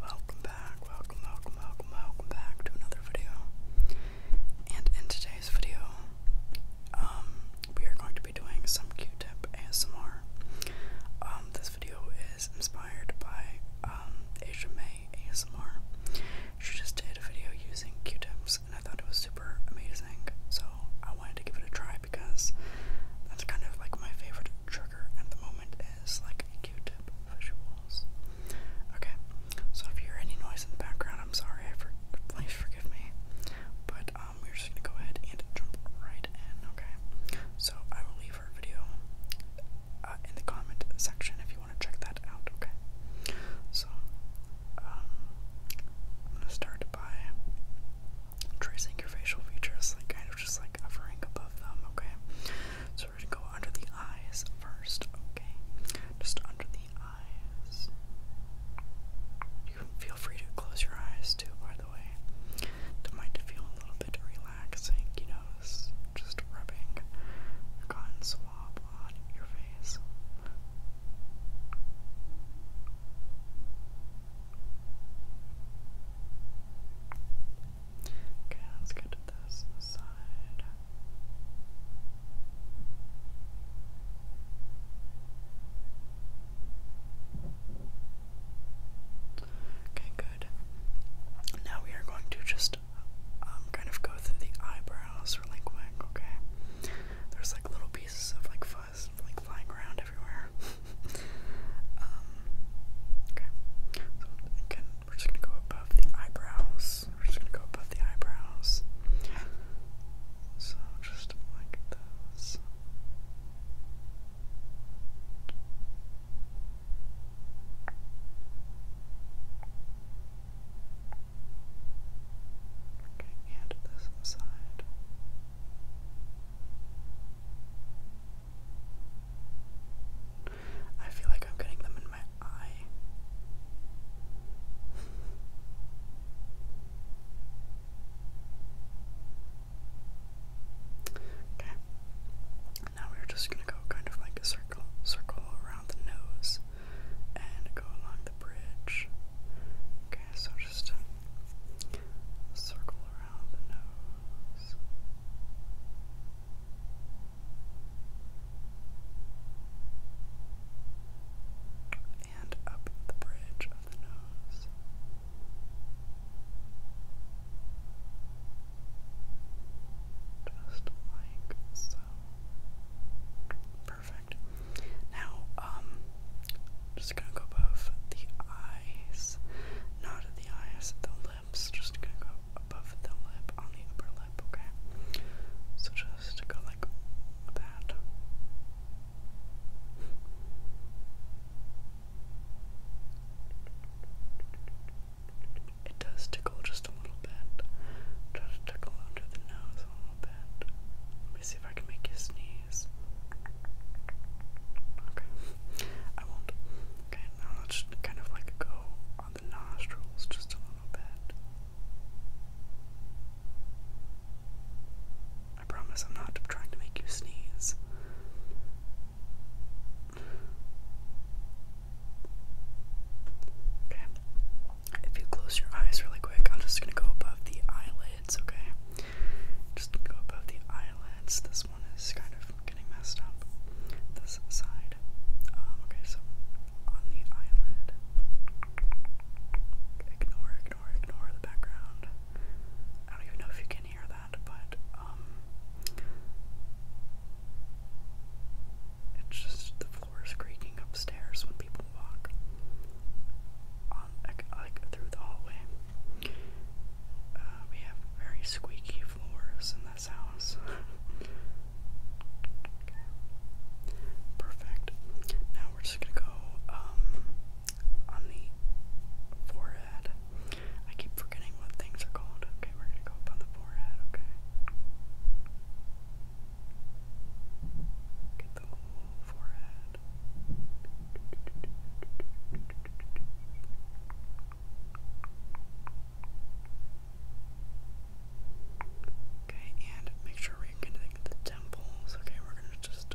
welcome back, welcome, welcome, welcome, welcome back to another video. And in today's video, um, we are going to be doing some Q-tip ASMR. Um, this video is inspired by um, Asia May ASMR. She just did a video using Q-tip and I thought it was super amazing. So I wanted to give it a try because that's kind of like my favorite trigger at the moment is like Q-tip visuals. Okay, so if you hear any noise in the background, I'm sorry. please forgive me. But um, we're just gonna go ahead and jump right in. Okay, so I will leave her video uh, in the comment section if you want check that out, okay? So, um, I'm going to start by tracing your facial features, like kind of just like hovering above them, okay? So, we're going to go under the eyes first, okay? Just under the eyes. You can feel free to close your eyes too, by the way. It might feel a little bit relaxing, you know, just rubbing a cotton swab on your Okay, let's get this side. Okay, good. Now we are going to just um, kind of go through the eyebrows really quick, okay? There's like little pieces of like fuzz like flying around everywhere. Um, okay, so again, we're just gonna go above the eyebrows. We're just gonna go above the eyebrows. So just like this. Okay, and this side. I feel like I'm getting them in my eye. okay. Now we're just gonna go kind of like a circle, circle around the nose and go along the bridge. Okay, so just circle around the nose. And up the bridge of the nose. Just like so. Perfect. Now, um, just gonna go above the eyes, not at the eyes, at the lips. Just gonna go above the lip on the upper lip, okay? So just go like that. It does tickle just a little bit. Try under the nose a little bit. Let me see if I can make you sneeze. Okay, I won't. Okay, now let's kind of like go on the nostrils just a little bit. I promise I'm not trying to make you sneeze. Okay. If you close your eyes really quick, I'm just gonna go above the eyelids, okay? Just go above the eyelids. This one is kind of getting messed up. This side. Um, okay, so on the eyelid. Ignore, ignore, ignore the background. I don't even know if you can hear that, but um it's just the floor creaking upstairs when people walk on like, through the hallway. Uh, we have very squeaky floors in this house. Perfect. Now we're just gonna go um on the forehead. I keep forgetting what things are called. Okay, we're gonna go up on the forehead, okay? Get the forehead. Okay, and make sure we're getting the temples. Okay, we're gonna just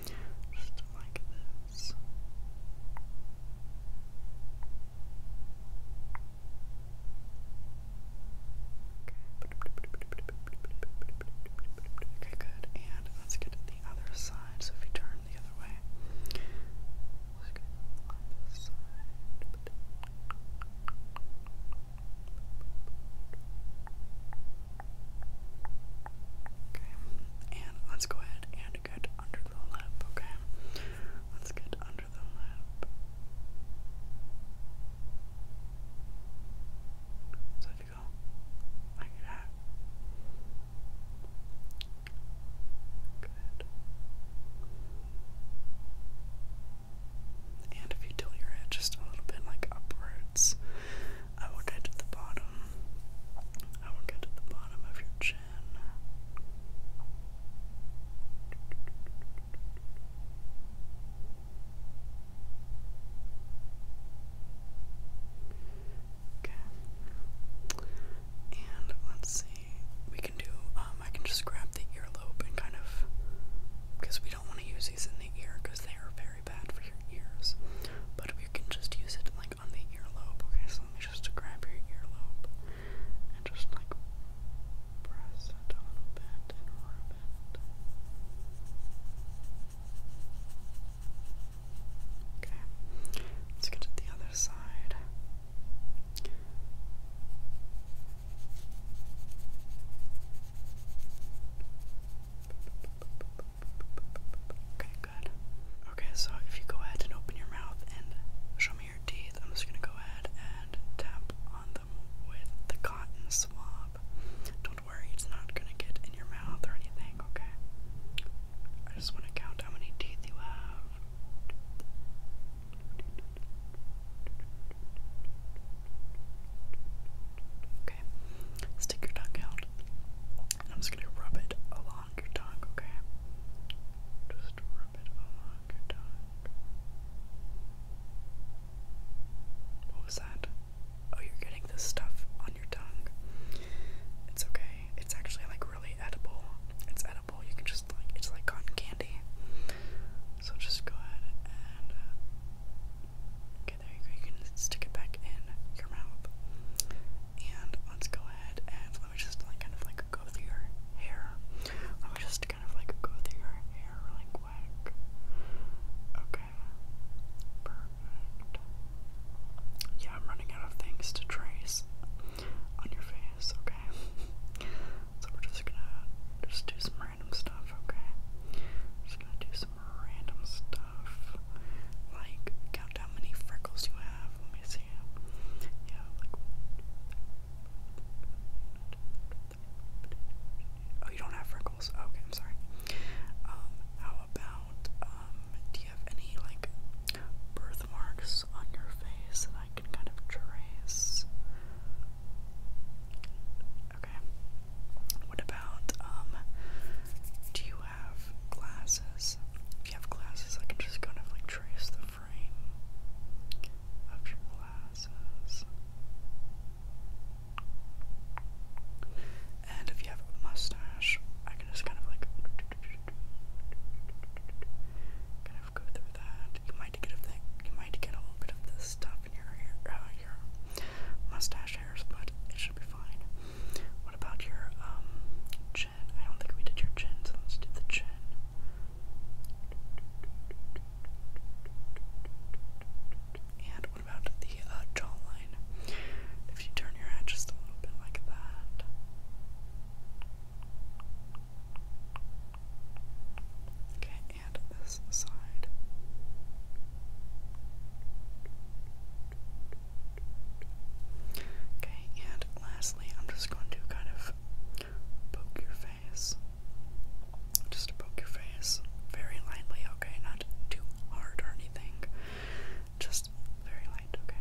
Okay. good. And let's get the other side. So if you turn the other way, let's get this side. Okay, and let's go ahead and get under the lip, okay? Let's get under the lip. So if you go like that. Good. And if you tilt your head just a little bit like upward, I will get to the bottom. I will get to the bottom of your chin. Okay. And let's see. We can do, um, I can just grab the earlobe and kind of, because we don't want to use these in the ear because they are very bad for your ears. But we can just use it like on the earlobe. Okay, so let me just grab your earlobe and just like press it a little bit and rub it. Okay, let's get to the other side. Okay, good. Okay, so if you go ahead and open your mouth and show me your teeth, I'm just gonna go ahead and tap on them with the cotton swab. Don't worry, it's not gonna get in your mouth or anything, okay? I just wanna count how many teeth you have. Okay, stick your tongue out, I'm just gonna rub it along your tongue, okay? Just rub it along your tongue. What was that? Oh, you're getting this stuff on your tongue. It's okay. It's actually like really edible. It's edible. You can just like, it's like cotton candy. So just go ahead and uh, there you can stick it back in your mouth, and let's go ahead and let me just like kind of like go through your hair. Let me just kind of like go through your hair really quick. Okay, perfect. Yeah, I'm running out of things to trace on your face. Okay, so we're just gonna just do some random stuff, okay? I'm just gonna do some random stuff. Like, count how many freckles you have. Let me see. Yeah, Oh, you don't have freckles. okay, I'm sorry. Um, how about, um, do you have any, like, birthmarks on your face that I can kind of trace? Okay. What about, um, do you have glasses? If you have glasses, I can just kind of like trace the frame of your glasses. And if you have a mustache, I can just kind of like you might get a little bit of this stuff in uh, your mustache hairs, but it should be fine. What about your um, chin? I don't think we did your chin, so let's do the chin. And what about the uh, jawline? If you turn your head just a little bit like that. Okay, and this side. Okay, and lastly, I'm just going to kind of poke your face. Just poke your face very lightly, okay? Not too hard or anything. Just very light, okay?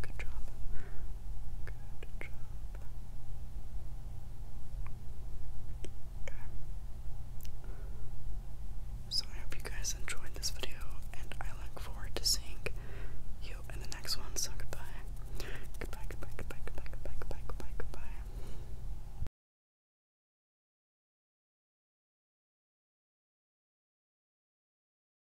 Good job. Good job. Okay. So I hope you guys enjoyed this video, and I look forward to seeing you in the next one. So goodbye. Goodbye, goodbye, goodbye, goodbye, goodbye, goodbye, goodbye, goodbye.